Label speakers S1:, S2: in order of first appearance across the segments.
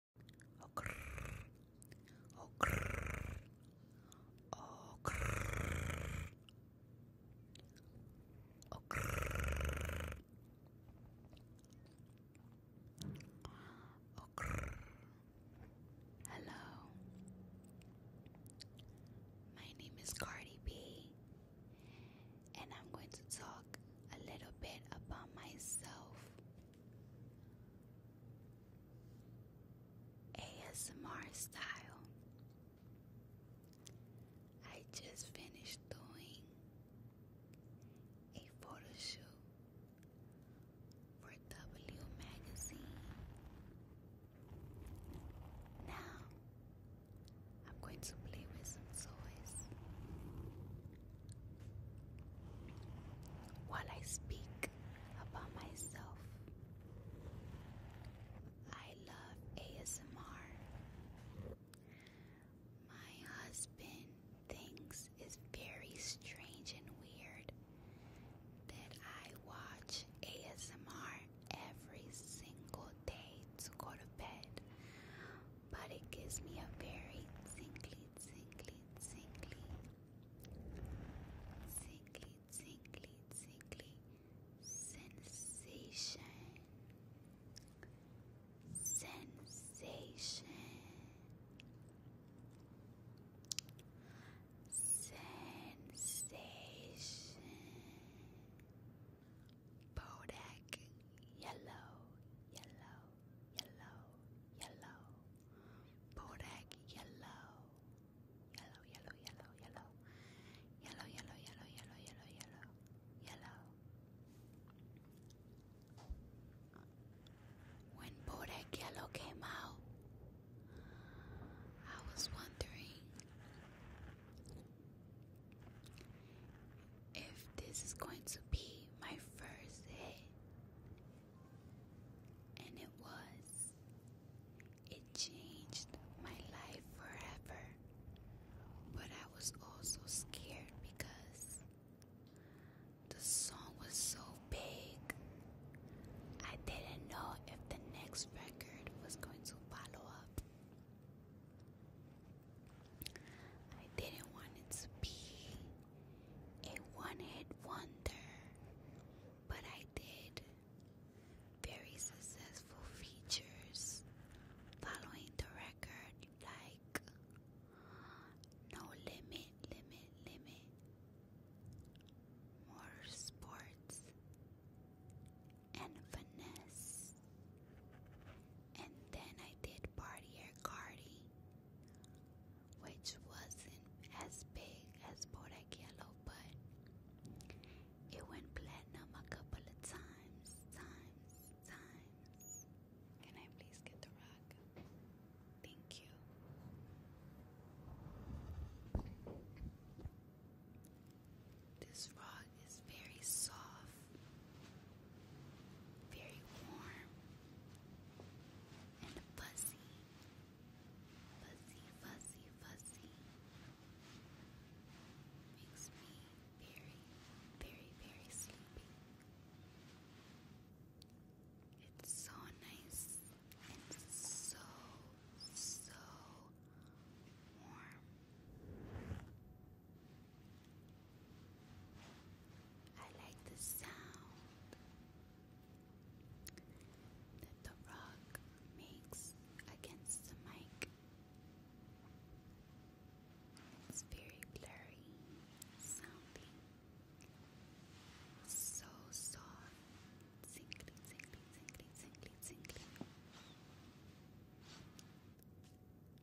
S1: Hello, my name is Cardi B, and I'm going to talk a little bit about myself ASMR style. I just finished doing a photo shoot for W Magazine. Now I'm going to play with some toys. While I speak about myself, I love ASMR. My husband thinks it's very strange and weird that I watch ASMR every single day to go to bed but it gives me a very tingly, tingly, tingly, tingly, tingly, tingly sensation. Sensation. Sensation. Bodak yellow, yellow, yellow, yellow. Bodak yellow. Yellow, yellow, yellow, yellow. Yellow, yellow, yellow, yellow, yellow, yellow. Yellow. When Bodak Yellow came out, I was wondering if this is going to be my first hit. And it was. It changed my life forever. But I was also scared because the song was so big. I didn't know if the next record was going to follow up. I didn't want it to be a one hit wonder, but I did. Very successful features following the record, like No Limit, Limit, Limit, Motorsports, and Finesse. And then I did Partier Cardi, which wasn't as big as Boragiello, but it went platinum a couple of times, times, times. Can I please get the rock? Thank you. This rock it's very soft, very warm, and fuzzy. Fuzzy, fuzzy, fuzzy. Makes me very, very, very sleepy. It's so nice and so, so warm. I like the sound that the rock makes against the mic. It's very blurry sounding. So soft. Singly, singly, singly, singly, singly.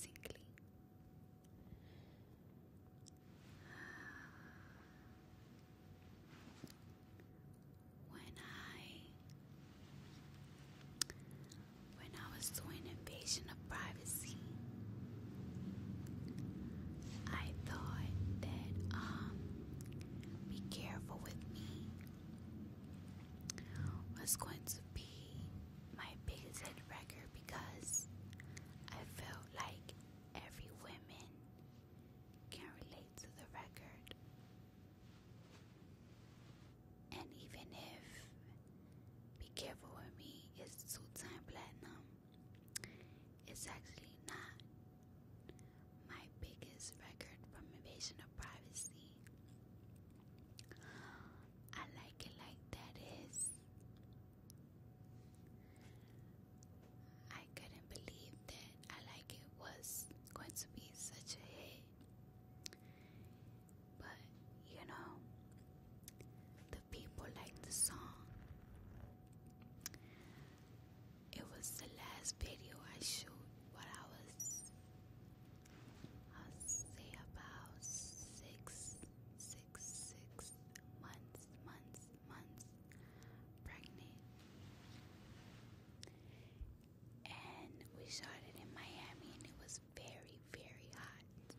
S1: Tingly. When I when I was doing invasion of privacy, I thought that um be careful with me was going to be my biggest record because I felt like every woman can relate to the record. And even if Be Careful With Me is two time platinum, it's actually not my biggest record from Invasion of Privacy. I like it like that is. I couldn't believe that I like it was going to be such a hit. But you know, the people liked the song. It was the last video I shoot while I was I'll say about six, six, six months, months, months pregnant. And we shot it in Miami and it was very, very hot.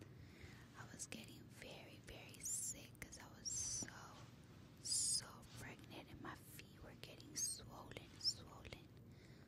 S1: I was getting very, very sick because I was so, so pregnant and my feet were getting swollen, swollen.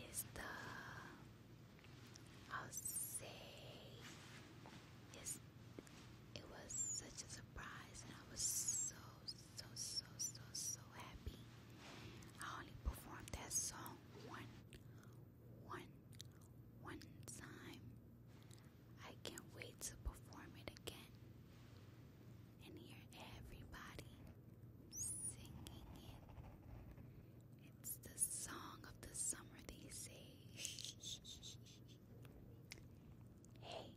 S1: and the I'll say is it was such a surprise and I was so so so so so happy. I only performed that song one one one time. I can't wait to perform it again and hear everybody singing it. It's the song of the summer, they say. hey,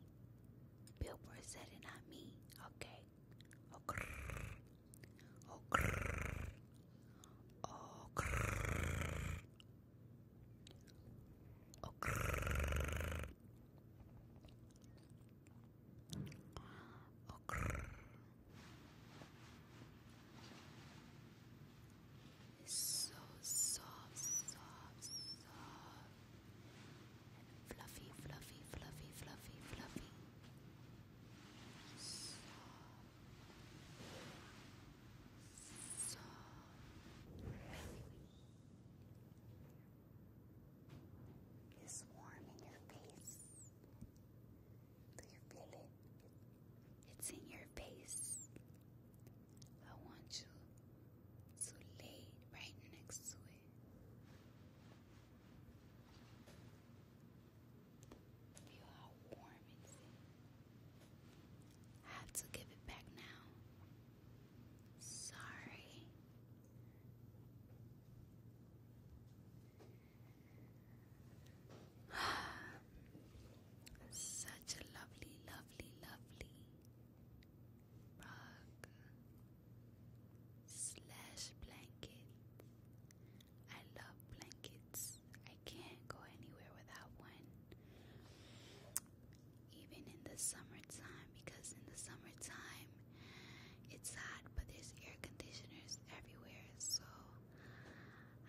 S1: Billboard said it, not me. Okay. Oh, grrr. Oh, Okay. It's so soft, soft, soft, and fluffy, fluffy, fluffy, fluffy, fluffy. Soft, soft. It's warm in your face. Do you feel it? It's in your face. I want you to lay right next to it. Feel how warm it's I have to give it back now. Sorry. Such a lovely, lovely, lovely rug slash blanket. I love blankets. I can't go anywhere without one. Even in the summertime, because in the summertime, it's hot, but there's air conditioners everywhere, so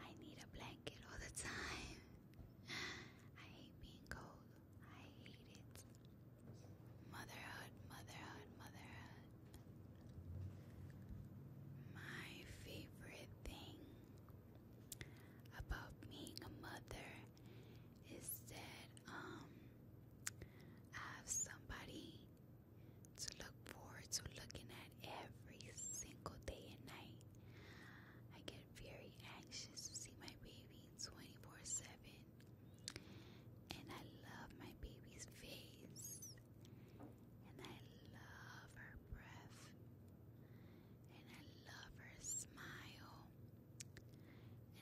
S1: I need a blanket all the time. I hate being cold. I hate it. Motherhood, motherhood, motherhood. My favorite thing about being a mother is that um I have somebody to look forward to looking at every single day and night. I get very anxious to see my baby 24 7. And I love my baby's face. And I love her breath. And I love her smile.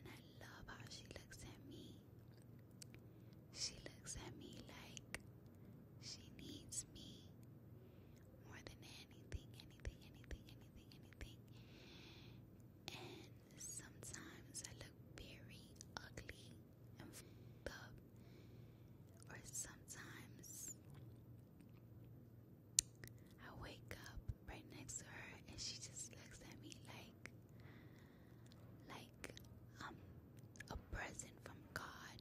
S1: And I love how she looks at me. She looks at me like she needs me more than anything, anything, anything, anything, anything. And sometimes I look very ugly and fucked or sometimes I wake up right next to her and she just looks at me like like um, a present from God,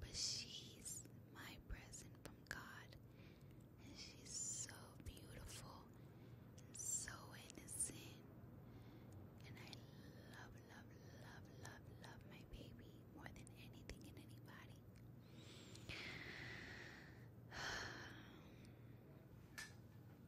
S1: but she's my present from God. And she's so beautiful and so innocent. And I love, love, love, love, love my baby more than anything and anybody.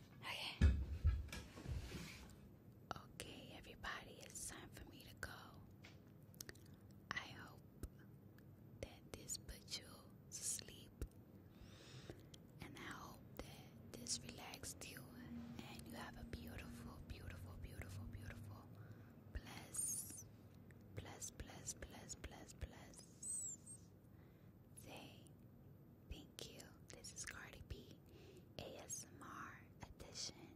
S1: Okay. Okay, everybody, it's time for me to go. I hope that this puts you to sleep and I hope that this relaxed you and you have a beautiful, beautiful, beautiful, beautiful, bless, Say thank you. This is Cardi B ASMR edition.